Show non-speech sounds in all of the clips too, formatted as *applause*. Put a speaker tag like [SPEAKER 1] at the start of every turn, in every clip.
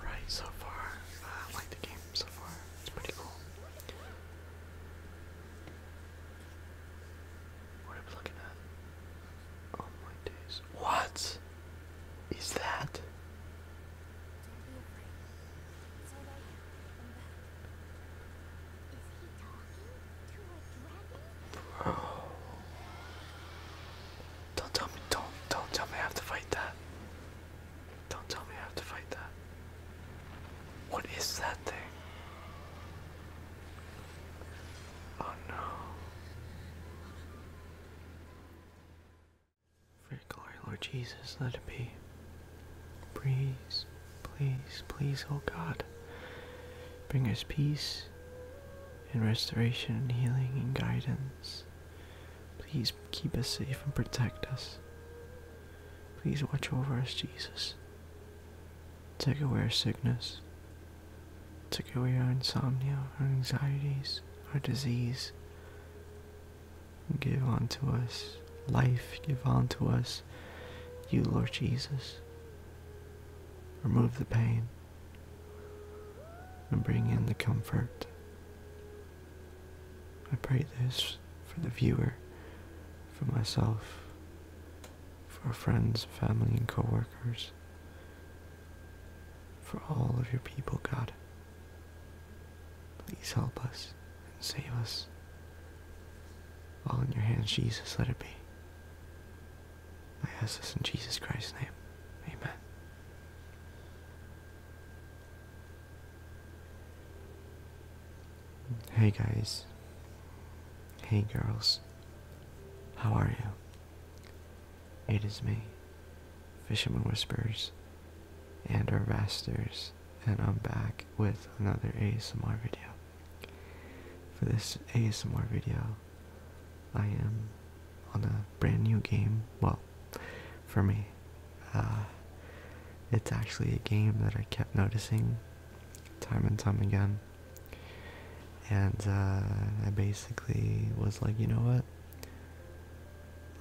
[SPEAKER 1] Alright, so far, uh, I like the game so far. It's pretty cool. What are we looking at? Oh my days. What is that? Bro. Don't tell me don't don't tell me I have to fight that. Don't tell me I have to fight that. What is that thing? Oh no. For your glory, Lord Jesus, let it be. Please, please, please, oh God, bring us peace and restoration and healing and guidance. Please keep us safe and protect us.
[SPEAKER 2] Please watch over us, Jesus. Take away our sickness, took away our insomnia, our anxieties, our disease. Give unto us life, give unto us you, Lord Jesus. Remove the pain and bring in the comfort. I pray this for the viewer, for myself, for friends, family, and co-workers, for all of your people, God. Please help us and save us. All in your hands, Jesus, let it be. I ask this in Jesus Christ's name. Amen. Hey guys. Hey girls. How are you? It is me, Fisherman Whispers, and our Rasters, and I'm back with another ASMR video. For this ASMR video, I am on a brand new game, well, for me. Uh, it's actually a game that I kept noticing time and time again and uh, I basically was like, you know what?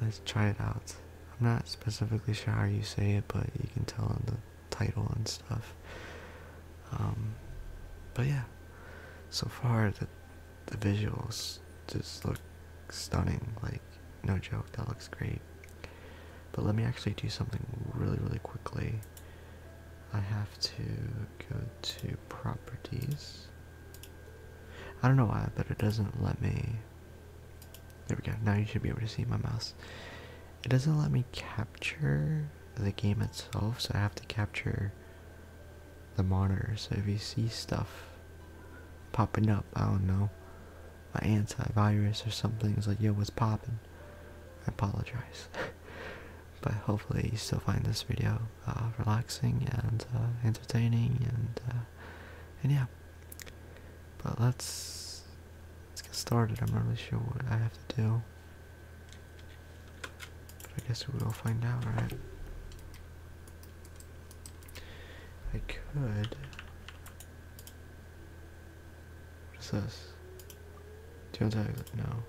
[SPEAKER 2] Let's try it out. I'm not specifically sure how you say it, but you can tell on the title and stuff. Um, but yeah, so far the the visuals just look stunning. Like no joke, that looks great. But let me actually do something really really quickly. I have to go to properties I don't know why, but it doesn't let me. There we go. Now you should be able to see my mouse. It doesn't let me capture the game itself, so I have to capture the monitor. So if you see stuff popping up, I don't know, my antivirus or something is like, yo, what's popping? I apologize. *laughs* but hopefully you still find this video uh, relaxing and uh, entertaining and uh, and yeah but let's let's get started i'm not really sure what i have to do i guess we'll find out right i could what is this do you want to no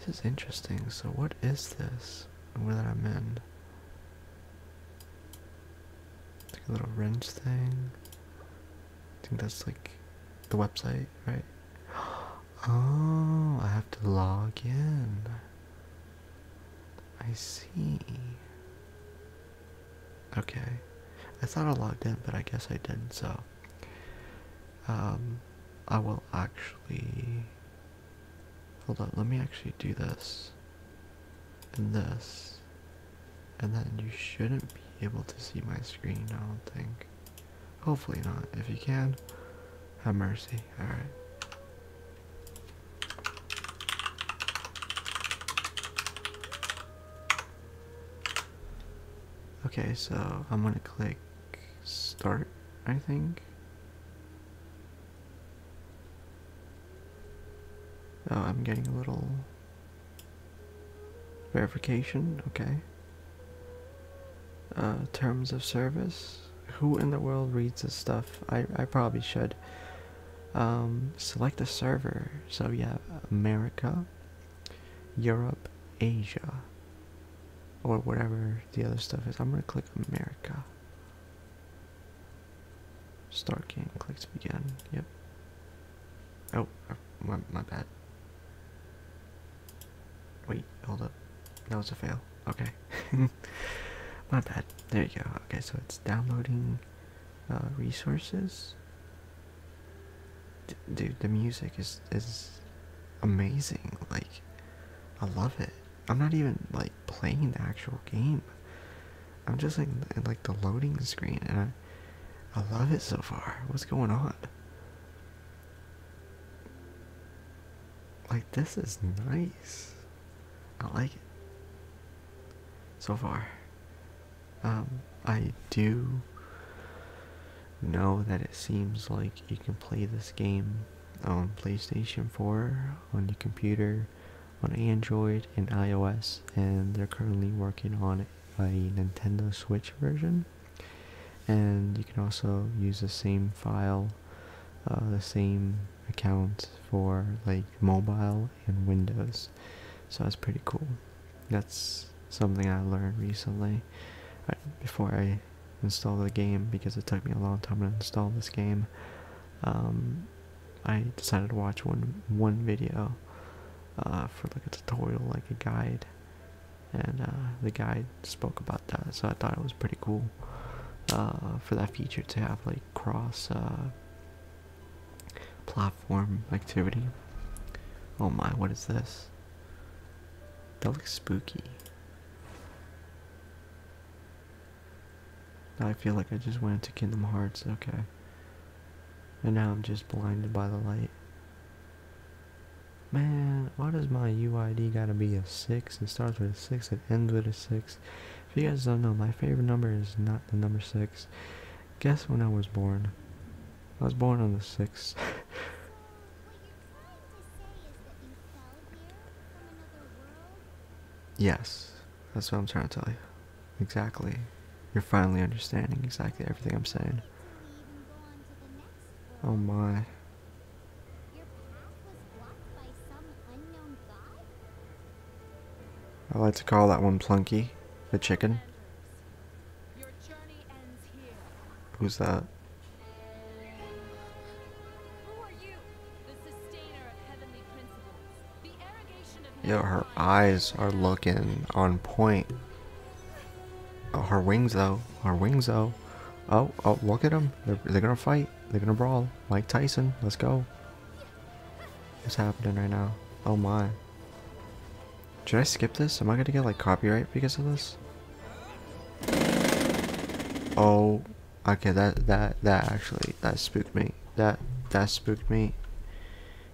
[SPEAKER 2] this is interesting. So what is this? Where that I'm in? Like a little wrench thing. I think that's like the website, right? *gasps* Oh, I have to log in. I see. Okay. I thought I logged in, but I guess I didn't, so um, I will actually, hold on, let me actually do this, and this, and then you shouldn't be able to see my screen, I don't think, hopefully not, if you can, have mercy, alright. Okay, so I'm gonna click start, I think. Oh, I'm getting a little verification, okay. Uh, terms of service. Who in the world reads this stuff? I, I probably should. Um, select a server. So yeah, America, Europe, Asia, or whatever the other stuff is. I'm gonna click America. Start game, click to begin. Yep. Oh, uh, my, bad. Wait, hold up. That was a fail. Okay. *laughs* my bad. There you go. Okay, so it's downloading uh, resources. dude, the music is is amazing. Like, I love it. I'm not even like playing the actual game. I'm just like in like the loading screen, and I, I love it so far. What's going on? Like this is nice. I like it so far. Um, I do know that it seems like you can play this game on PlayStation 4, on your computer, on Android, and iOS, and they're currently working on a Nintendo Switch version. And you can also use the same file, uh, the same account for like mobile and Windows. So that's pretty cool. That's something I learned recently. before I Installed the game because it took me a long time to install this game. Um, I decided to watch one one video uh, for like a tutorial, like a guide, and uh, the guide spoke about that, so I thought it was pretty cool uh, for that feature to have like cross platform activity. Oh my, what is this? That looks spooky. I feel like I just went to Kingdom Hearts, okay. And now I'm just blinded by the light. Man, why does my UID gotta be a 6? It starts with a 6, it ends with a 6. If you guys don't know, my favorite number is not the number 6. Guess when I was born? I was born on the 6th. *laughs* Yes, that's what I'm trying to tell you. Exactly. You're finally understanding exactly everything I'm saying. Oh my. I like to call that one Plunky, the chicken. Who's that? Yo, her eyes are looking on point. Oh, her wings, though. Her wings, though. Oh, oh, look at them. They're, they're gonna fight. They're gonna brawl. Mike Tyson, let's go. It's happening right now? Oh my. Should I skip this? Am I gonna get, like, copyright because of this? Oh, okay, that, that, that actually, that spooked me. That, that spooked me.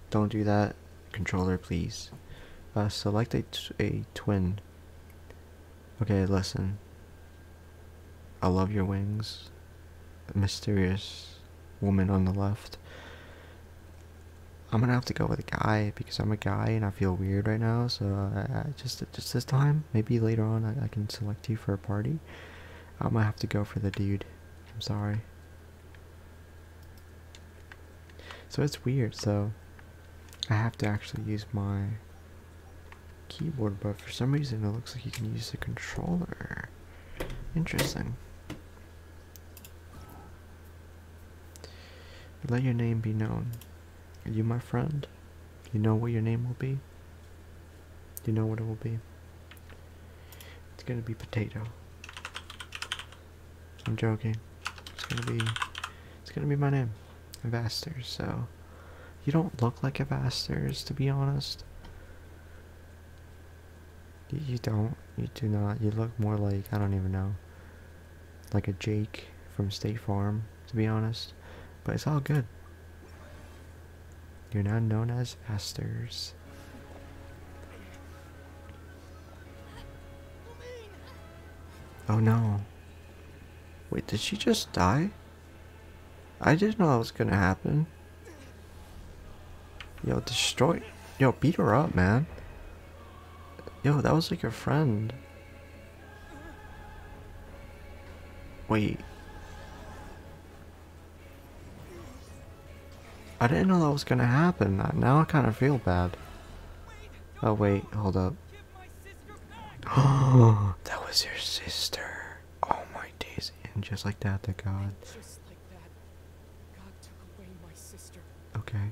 [SPEAKER 2] Don't do that, controller, please. Uh, select a, a twin. Okay, listen. I love your wings. Mysterious woman on the left. I'm gonna have to go with a guy because I'm a guy and I feel weird right now, so just just this time. Maybe later on I, I can select you for a party. I might have to go for the dude. I'm sorry. So it's weird. So I have to actually use my keyboard, but for some reason it looks like you can use the controller. Interesting. Let your name be known. You, my friend, you know what your name will be? You know what it will be? It's gonna be potato. I'm joking. It's gonna be it's gonna be my name. Avasters, so you don't look like Avasters to be honest. you don't. You do not. You look more like I don't even know like a Jake from State Farm, to be honest. But it's all good. You're now known as Asters. Oh no. Wait, did she just die? I didn't know that was gonna happen. Yo, destroy- Yo, beat her up, man. Yo, that was like your friend. Wait. I didn't know that was gonna happen. Now I kind of feel bad. Oh wait, hold up. Oh, *gasps* that was your sister. Oh my Daisy, And just like that, the god. Like that, god okay.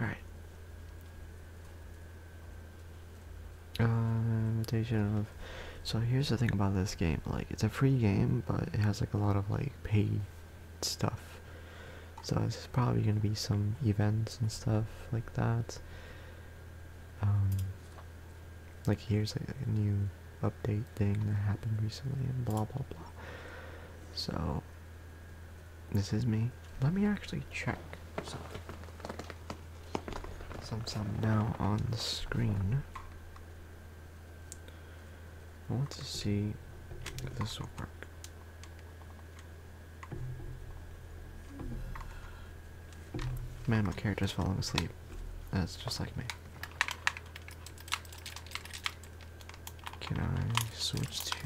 [SPEAKER 2] Alright. Um, of. So here's the thing about this game. Like, it's a free game, but it has, like, a lot of, like, paid stuff. So it's probably going to be some events and stuff like that. Um, like here's a new update thing that happened recently and blah blah blah. So this is me. Let me actually check some, some, i now on the screen, I want to see if this will work. Man, my character's falling asleep. That's just like me. Can I switch to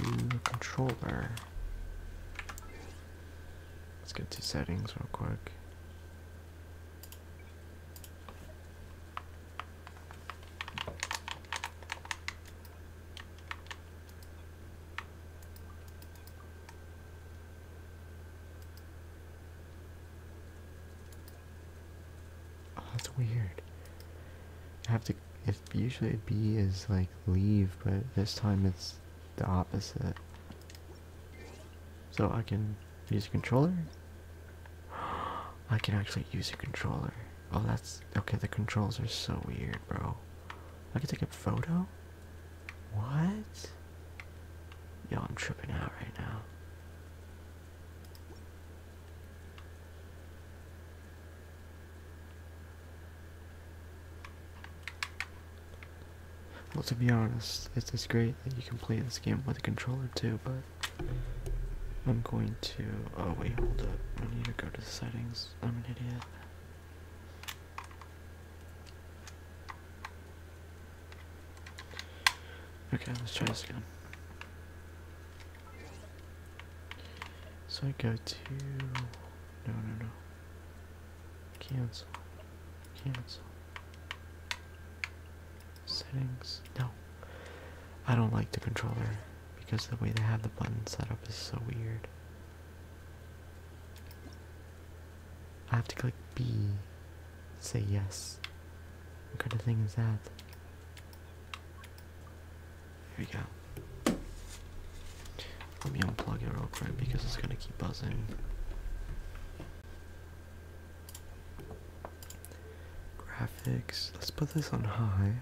[SPEAKER 2] controller? Let's get to settings real quick. Oh, to if usually B is like leave, but this time it's the opposite. So I can use a controller. *gasps* I can actually use a controller. Oh, that's okay. The controls are so weird, bro. I can take a photo. What? Yo, I'm tripping out right now. Well, to be honest, it's, just great that you can play this game with a controller too, but I'm going to, oh wait, hold up, I need to go to the settings, I'm an idiot. Okay, let's try this again. So I go to no, no, no. Cancel. Cancel. Settings. No. I don't like the controller because the way they have the button set up is so weird. I have to click B. Say yes. What kind of thing is that? Here we go. Let me unplug it real quick because it's gonna keep buzzing. Graphics. Let's put this on high.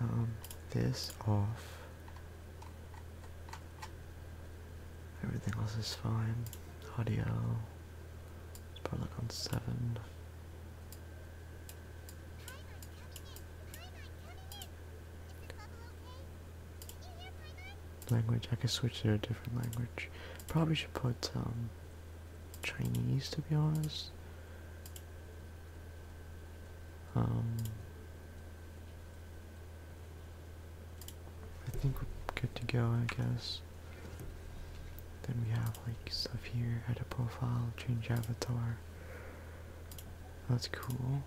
[SPEAKER 2] Um, this off. Everything else is fine. Audio. Let's put it on seven. Language, I can switch to a different language. Probably should put um, Chinese to be honest. Um, I think we're good to go, I guess. Then we have like stuff here, add a profile, change avatar. That's cool.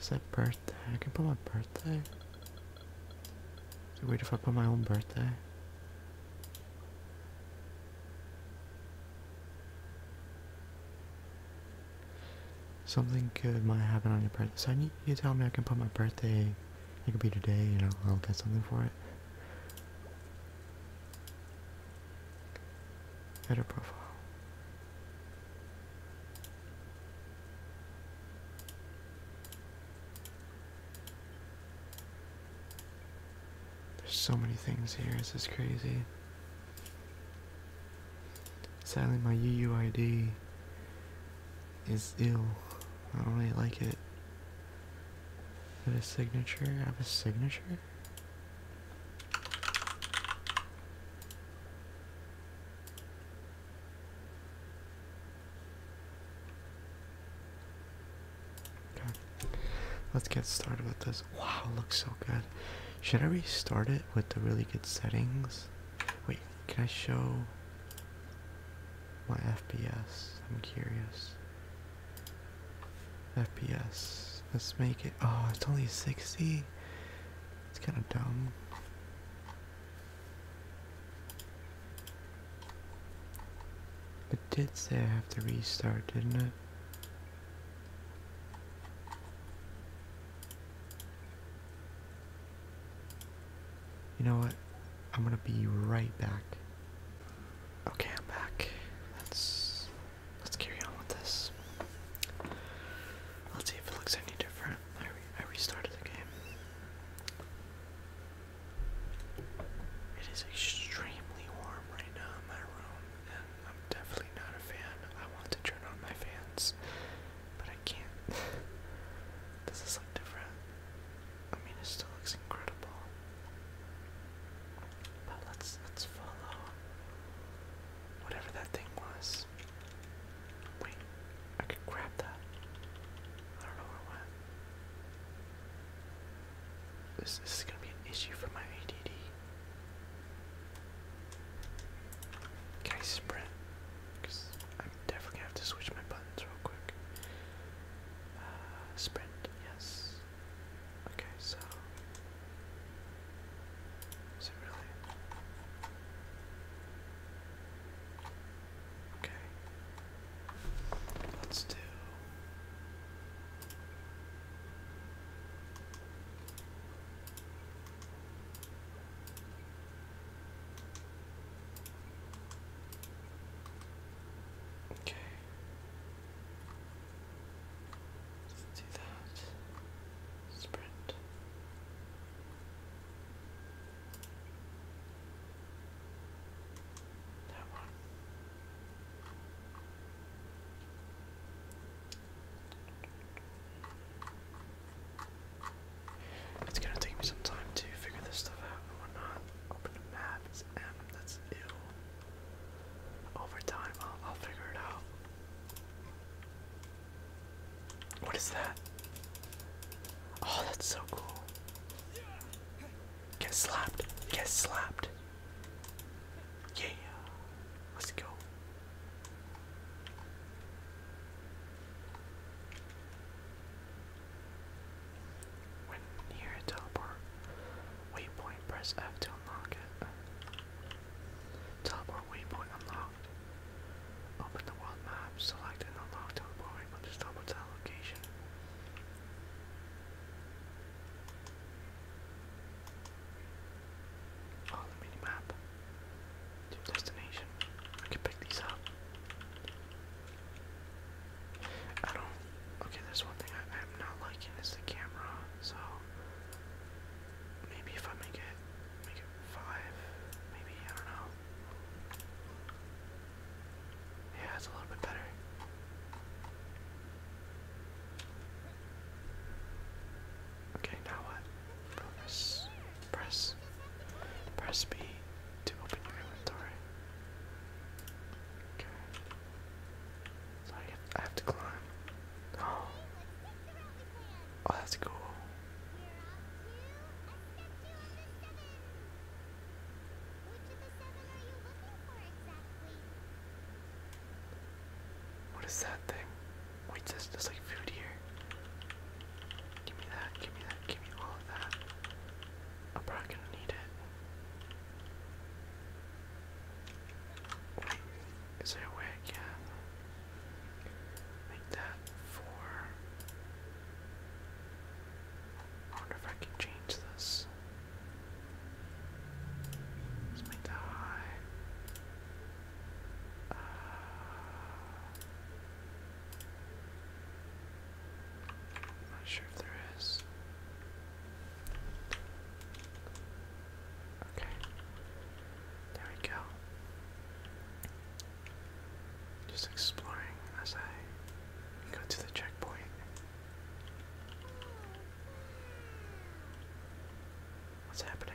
[SPEAKER 2] Is that birthday? I can put my birthday. Is it weird put my own birthday? Something good might happen on your birthday. So I you tell me I can put my birthday. It could be today, you know, I'll get something for it. Edit profile. There's so many things here. Is This crazy. Sadly, my UUID is ill. I don't really like it. Is a signature? I have a signature? Okay. Let's get started with this. Wow, looks so good. Should I restart it with the really good settings? Wait, can I show my FPS? I'm curious. FPS. Let's make it. Oh, it's only 60. It's kind of dumb. It did say I have to restart, didn't it? You know what? I'm gonna be right back. Okay, I'm back. Let's
[SPEAKER 1] let's carry on with this. Let's see if it looks any different. I, restarted the game. It is extremely warm right now in my room, and I'm definitely not a fan. I want to turn on my fans, but I can't. Does *laughs* this look different? I mean, it still looks incredible. But let's let's follow whatever that thing was. Wait, I could grab that. I don't know where This, this is gonna be an issue for my ADD. Can I sprint? Because I'm definitely have to switch my buttons real quick. Uh, sprint, yes. Okay, so is it really? Okay. Let's do Okay, Let's do that. Sprint. That one. It's gonna take me some time to figure this stuff out and whatnot. Open the map, M, that's ill. Over time, I'll, figure it out. What is that? Oh, that's so cool. Get slapped. Get slapped. Yeah. Let's go. When near a teleport waypoint, press F to unlock it. Teleport waypoint unlocked. Open the world map, select and unlock teleport waypoint to teleport to that location. Follow the mini map to destination. I can pick these up. I don't. Okay, there's one thing I, am not liking is the camera. So maybe if I make it, make it five. Maybe I don't know. Yeah, it's a little bit better. Okay, now what? Focus. Press. Press B to open your inventory. Okay. So I have, to climb. Oh, oh that's cool. What is that thing? Wait, there's, there's like food here. Give me that, give me that, give me all of that. I'm probably gonna need it is there a way I can make that four? I wonder if I can change this. Let's make that high. Uh, not sure if there is. Okay. There we go. Just exploring as I go to the checkpoint. What's happening?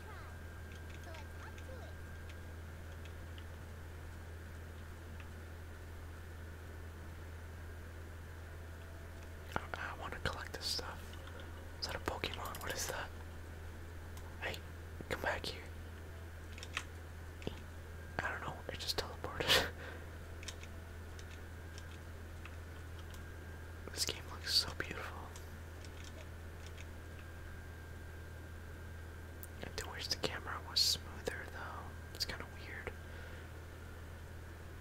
[SPEAKER 1] I, want to collect this stuff. Is that a Pokemon? What is that? Hey, come back here. I don't know, it just teleported. *laughs* this game looks so beautiful. I do wish the camera was smoother though. It's kind of weird.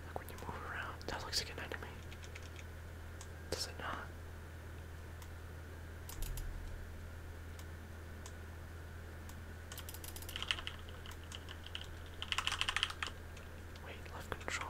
[SPEAKER 1] Like when you move around, that looks like an enemy. Does it not? Wait, control.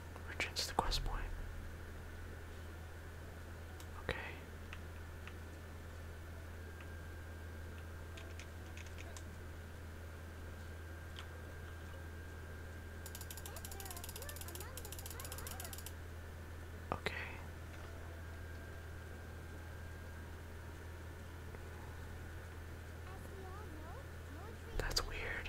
[SPEAKER 1] Returns to the quest point. Okay. Okay. That's weird.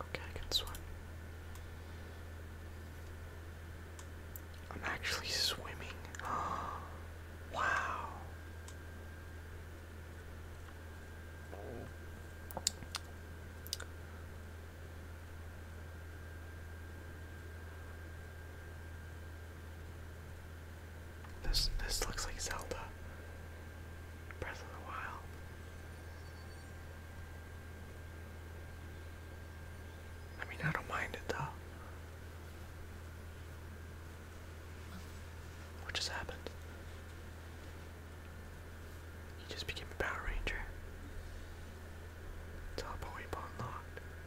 [SPEAKER 1] Okay, I can swim. I'm actually swimming. *gasps* wow. This this looks like Zelda. Breath of the Wild. I mean, I don't mind it though. What just happened? He just became a Power Ranger. Top point unlocked.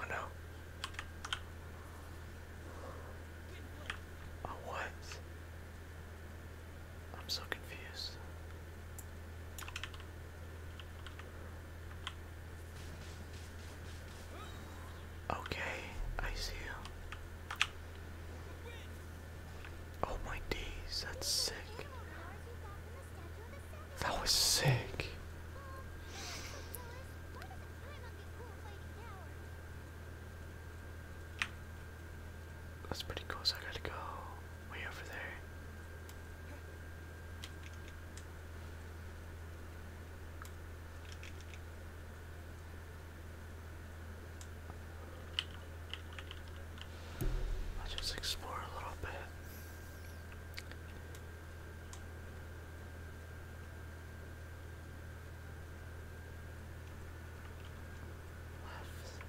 [SPEAKER 1] Oh no. Oh what? I'm so confused. Okay, I see you. Oh my days, that's sick. That was sick. That's pretty cool, I gotta go way over there. I'll just explore a little bit. Left.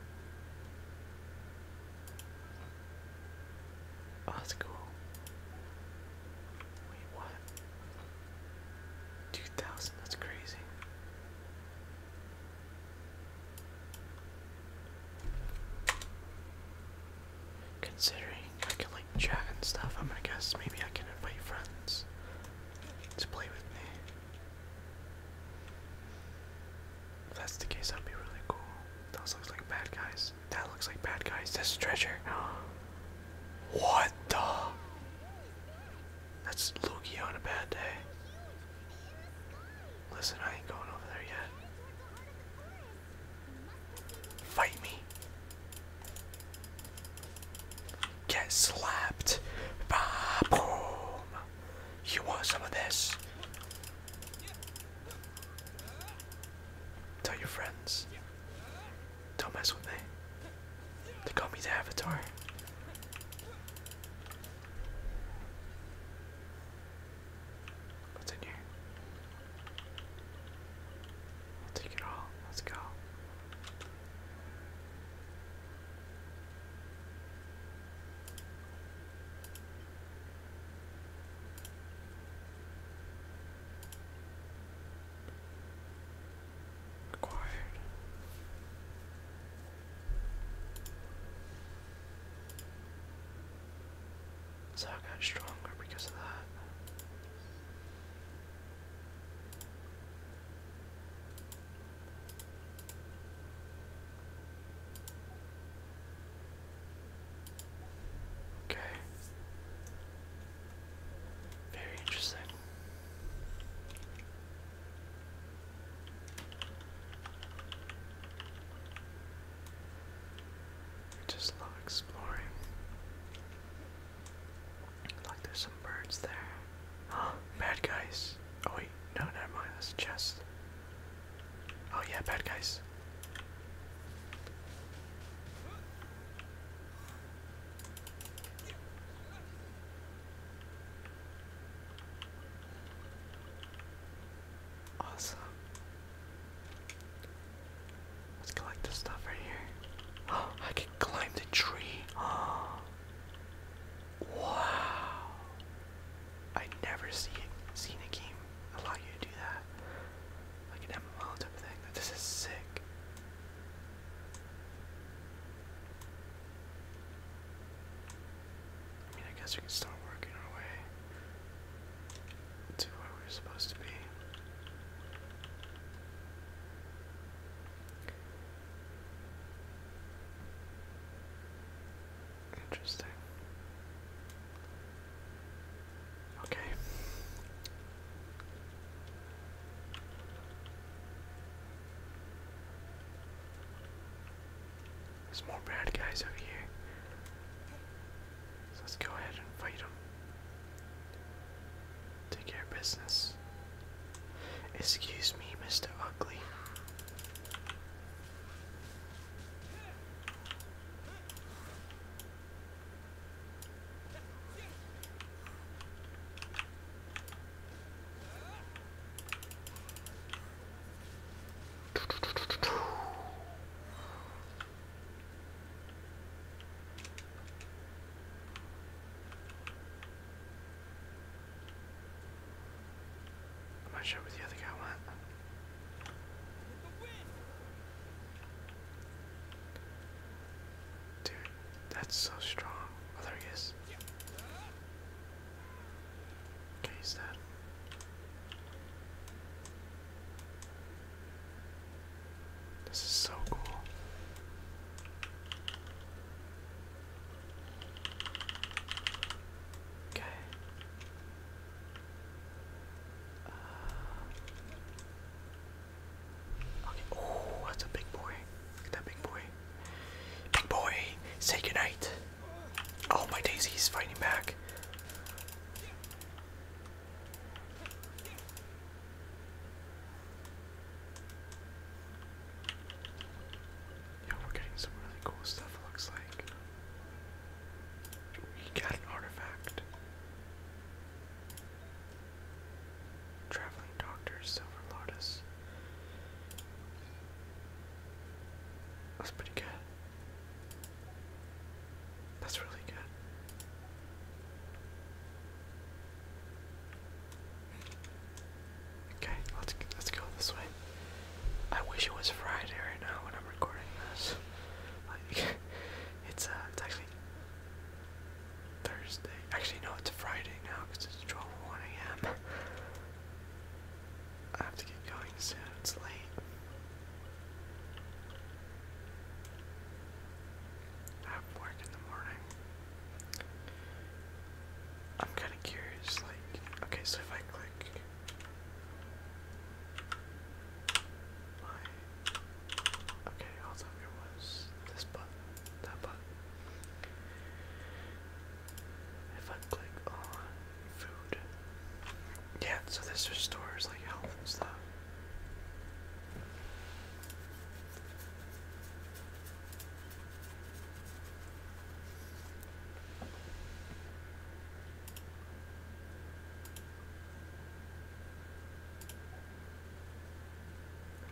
[SPEAKER 1] Oh, that's cool. Wait, what? 2000, that's crazy. Considering I can like chat and stuff, I'm gonna guess maybe I can invite friends to play with me. If that's the case, that'd be really cool. Those looks like bad guys. That looks like bad guys. This is treasure. What the? That's Lugia on a bad day. Listen, I ain't going over there yet. Fight me. Get slapped. Boom. You want some of this? Tell your friends. Don't mess with me. They call me the Avatar. What's in here? I'll take it all. Let's go. Acquired. So I got stronger because of that. Okay. Very interesting. just love exploring. Like there's some birds there. Huh? *gasps* Bad guys. Oh wait, no, never mind. That's a Oh yeah, bad guys. Awesome. Let's collect this stuff right here. Oh, *gasps* I can climb the tree. Oh. *gasps* Wow. I never see seen a game allow you to do that like an MMO type thing. This is sick. I mean, I guess we can start working our way to where we we're supposed to be. Interesting. Okay. There's more bad guys over here. let's go ahead and fight them. Take care of business. Excuse me, Mr. Ugly. I'm not sure where the other guy went. Dude, that's so strong. Oh, there he is. This is so cool. Okay. Oh, that's a big boy. Look at that big boy. Big boy, say goodnight. Oh, my Daisy's fighting back. Yeah, we're getting some really cool stuff, it looks like. We got an artifact. Traveling Doctor Silver Lotus. That's pretty good. That's really good. Okay, let's let's go this way. I wish it was Friday right now when I'm recording this. Like it's uh, it's actually Thursday. Actually, no, it's Friday now because it's 12:01 a.m. I have to get going soon. It's late. I have work in the morning. I'm kind of curious. Like, okay, so if I click okay, all that there was this button, that button. If I click on food, yeah. So this restores like health and stuff.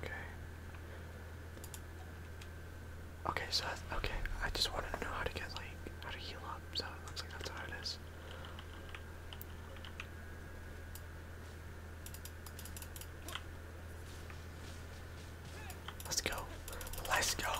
[SPEAKER 1] Okay. Okay, so okay, I just wanted to know how to get like how to heal up, so it looks like that's how it is. Let's go. Let's go.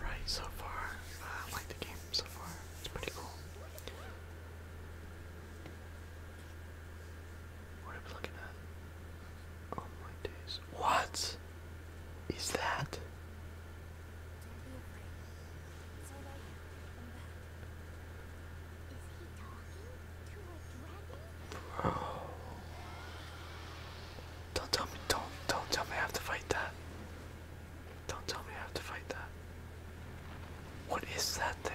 [SPEAKER 1] Alright, so far, uh, I like the game so far. It's pretty cool. What am I looking at? Oh my days. What is that? Bro. Don't tell me don't don't tell me I have to fight that. Don't tell me I have to fight that. What is that thing?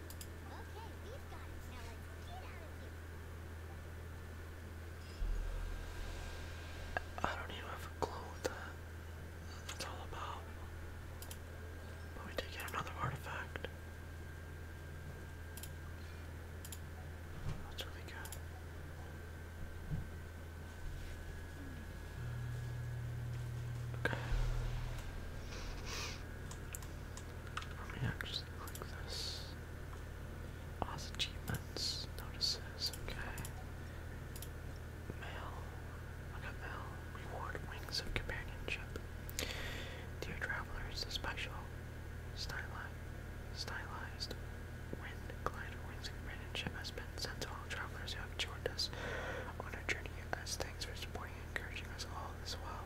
[SPEAKER 3] I don't even have a clue what that's all about. But we did get another artifact.
[SPEAKER 1] That's really good. Okay. Let me actually click this. Oz achievements, notices, okay. Mail, I got mail, reward, wings of companionship. Dear travelers, the special, stylized, stylized wind glider wings of companionship has been sent to all travelers who have joined us on our journey as thanks for supporting and encouraging us all as well.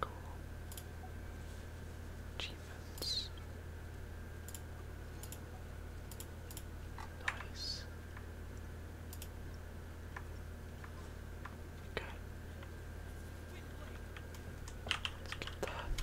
[SPEAKER 1] Cool. Achievements. Nice. Okay. Let's get that.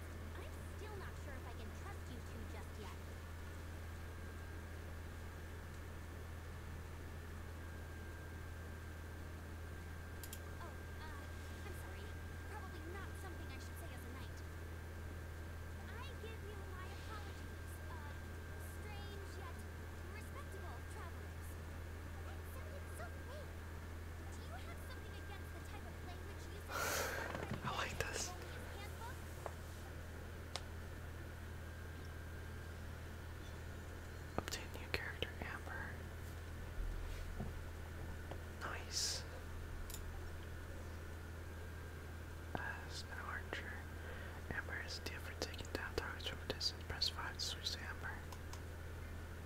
[SPEAKER 3] I'm still not sure if I can trust you two just yet. Oh, uh, I'm sorry. Probably not something I should say as a knight. I give you my apologies, uh, strange yet respectable travelers. That sounded so fake. Do you have something against the type I like this. Obtain new character Amber.
[SPEAKER 1] Nice. As an archer, Amber is a deal for down targets from a Press 5 to switch Amber.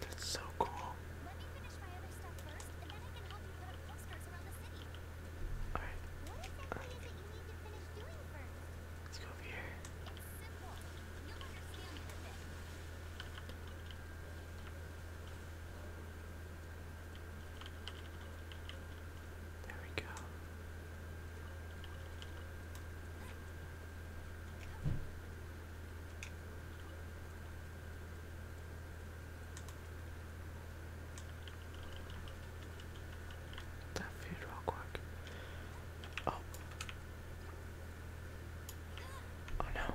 [SPEAKER 3] That's so cool. Let me finish my other stuff first, and then I can help you put up postcards around the city. Alright. What exactly is it you need to finish doing first? Let's go over here. It's simple. You'll understand in a bit. There we go.
[SPEAKER 1] That food real quick. Oh. Oh no.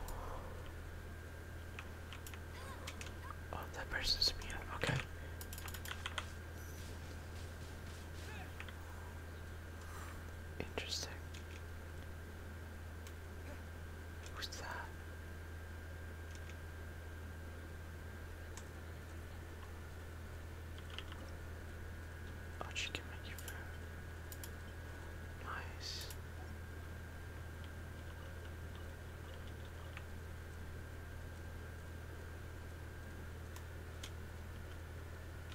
[SPEAKER 1] Oh, that person's immune. Okay. Interesting. Who's that? Oh, she can make you food. Nice.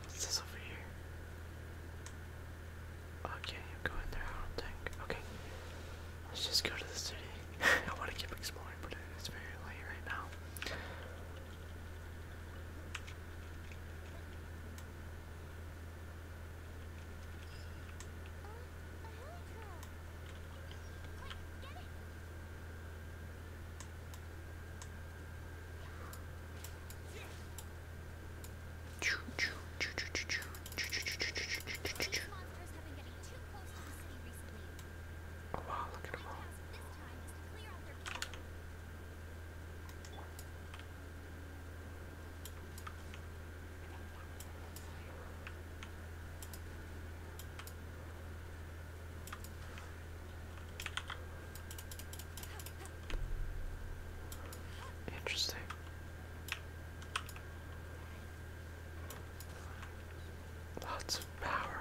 [SPEAKER 1] What's this over here? Oh, can't even there, I don't think. Okay. Let's just go to the city. *laughs* I want to keep exploring, but it's very late right now. Oh wow, look at them all. Interesting. Lots of power.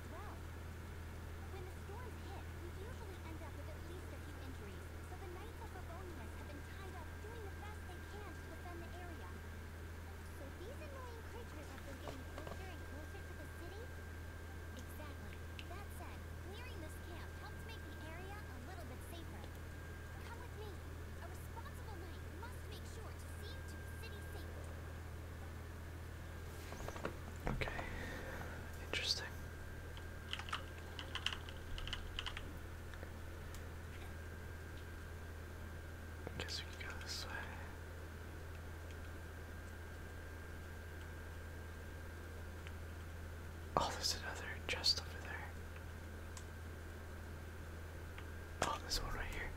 [SPEAKER 3] well. When the storms hit, we usually end up with at least a few injuries, so the Knights of Favonius have been tied up doing the best they can to defend the area. So these annoying creatures have been getting closer and closer to the city? Exactly. That said, clearing this camp helps make the area a little bit safer. Come with me. A responsible knight must make sure to seem to the city safe.
[SPEAKER 1] Okay, interesting. guess we go this way. Oh, there's another chest over there. Oh, this one right here.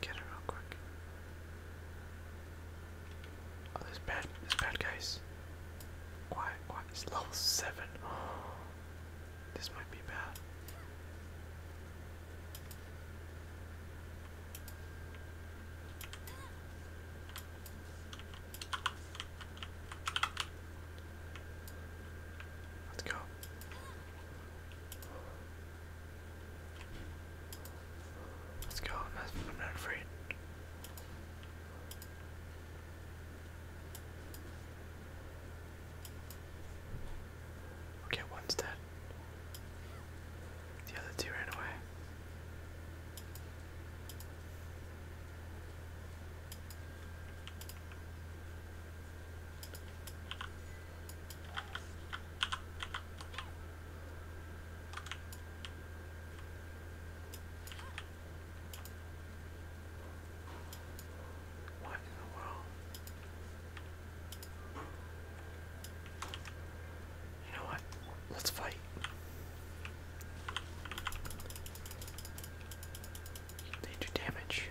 [SPEAKER 1] Get it real quick. Oh, there's bad, there's bad guys. Quiet, quiet. It's level seven. Oh, *gasps* this might be bad. Let's go. Let's go. I'm not, afraid. Okay, one's dead. The other two ran away. What in the world? You know what? Let's fight. They damage.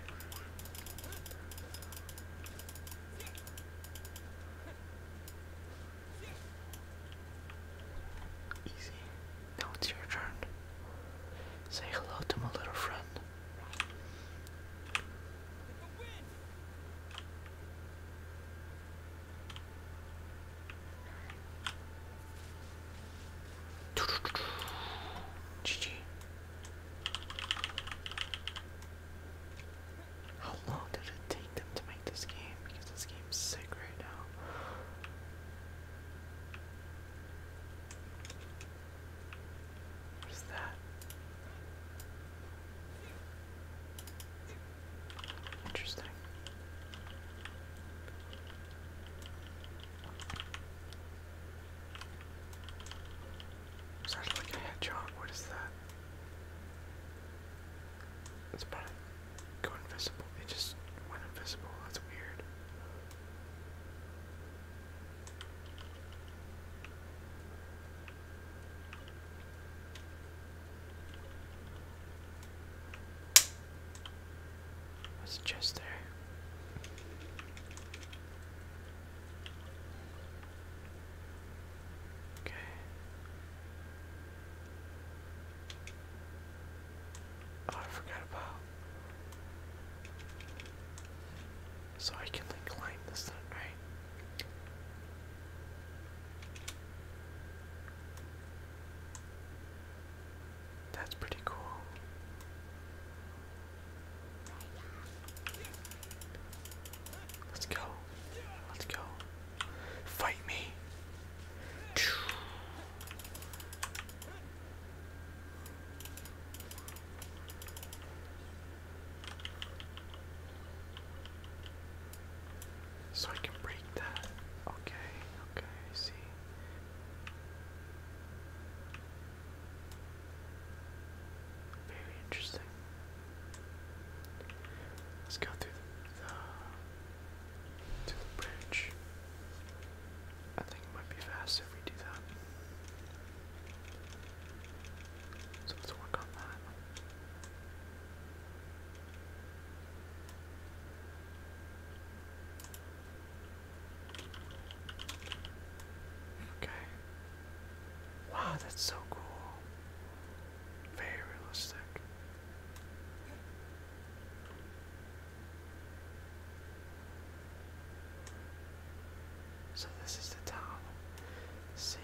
[SPEAKER 1] Easy. Now it's your turn. Say hello to my little friend. GG. How long did it take them to make this game? Because this game's sick right now. What is that? Interesting. Sounds like a hedgehog. What is that? That's about it. invisible. It just went invisible. That's weird. There's a chest there. Okay. Oh, I forgot about. So I can like climb this thing, right? That's pretty cool. Let's go. Let's go. Fight me. So I can break that. Okay, okay, see. Very interesting. Let's go through the, to the bridge. I think it might be faster we do that. So let's work on that. Okay. Wow, that's so cool. Very realistic. So this is the town, city.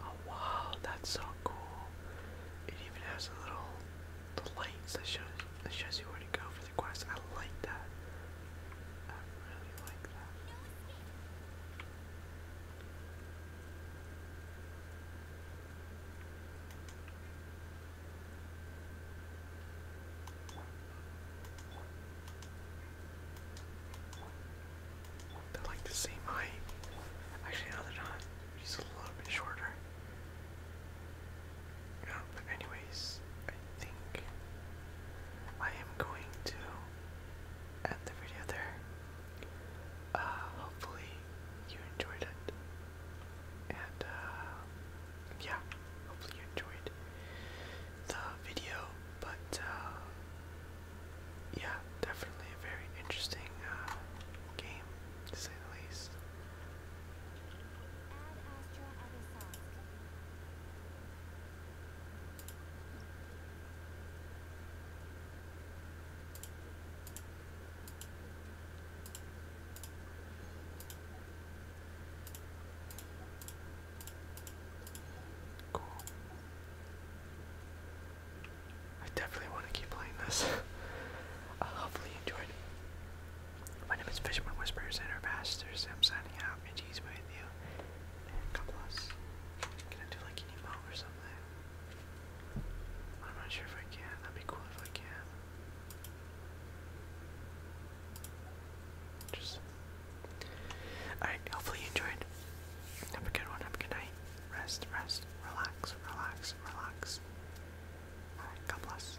[SPEAKER 1] Oh wow, that's so cool. It even has a little the lights that shows that shows you where to go for the quest. I like that. I really like that.
[SPEAKER 3] They're like the same height. Actually, no, they're a little bit shorter.
[SPEAKER 1] Yeah, but anyways, I think I am going to end the video there. Uh, hopefully you enjoyed it. And uh, yeah, hopefully you enjoyed the video. But uh, yeah, definitely a very interesting uh, game, to say the least. Cool. I definitely want to keep playing this. *laughs* uh, hopefully enjoyed. My name is Fisherman Whispers and our pastors. i signing out. May with you. Can I do like an emote or something? I'm not sure if I can. That'd be cool if I can. Just Alright, hopefully you enjoyed. Have a good one, have a good night. Rest, rest, relax, relax, relax. Alright, God bless.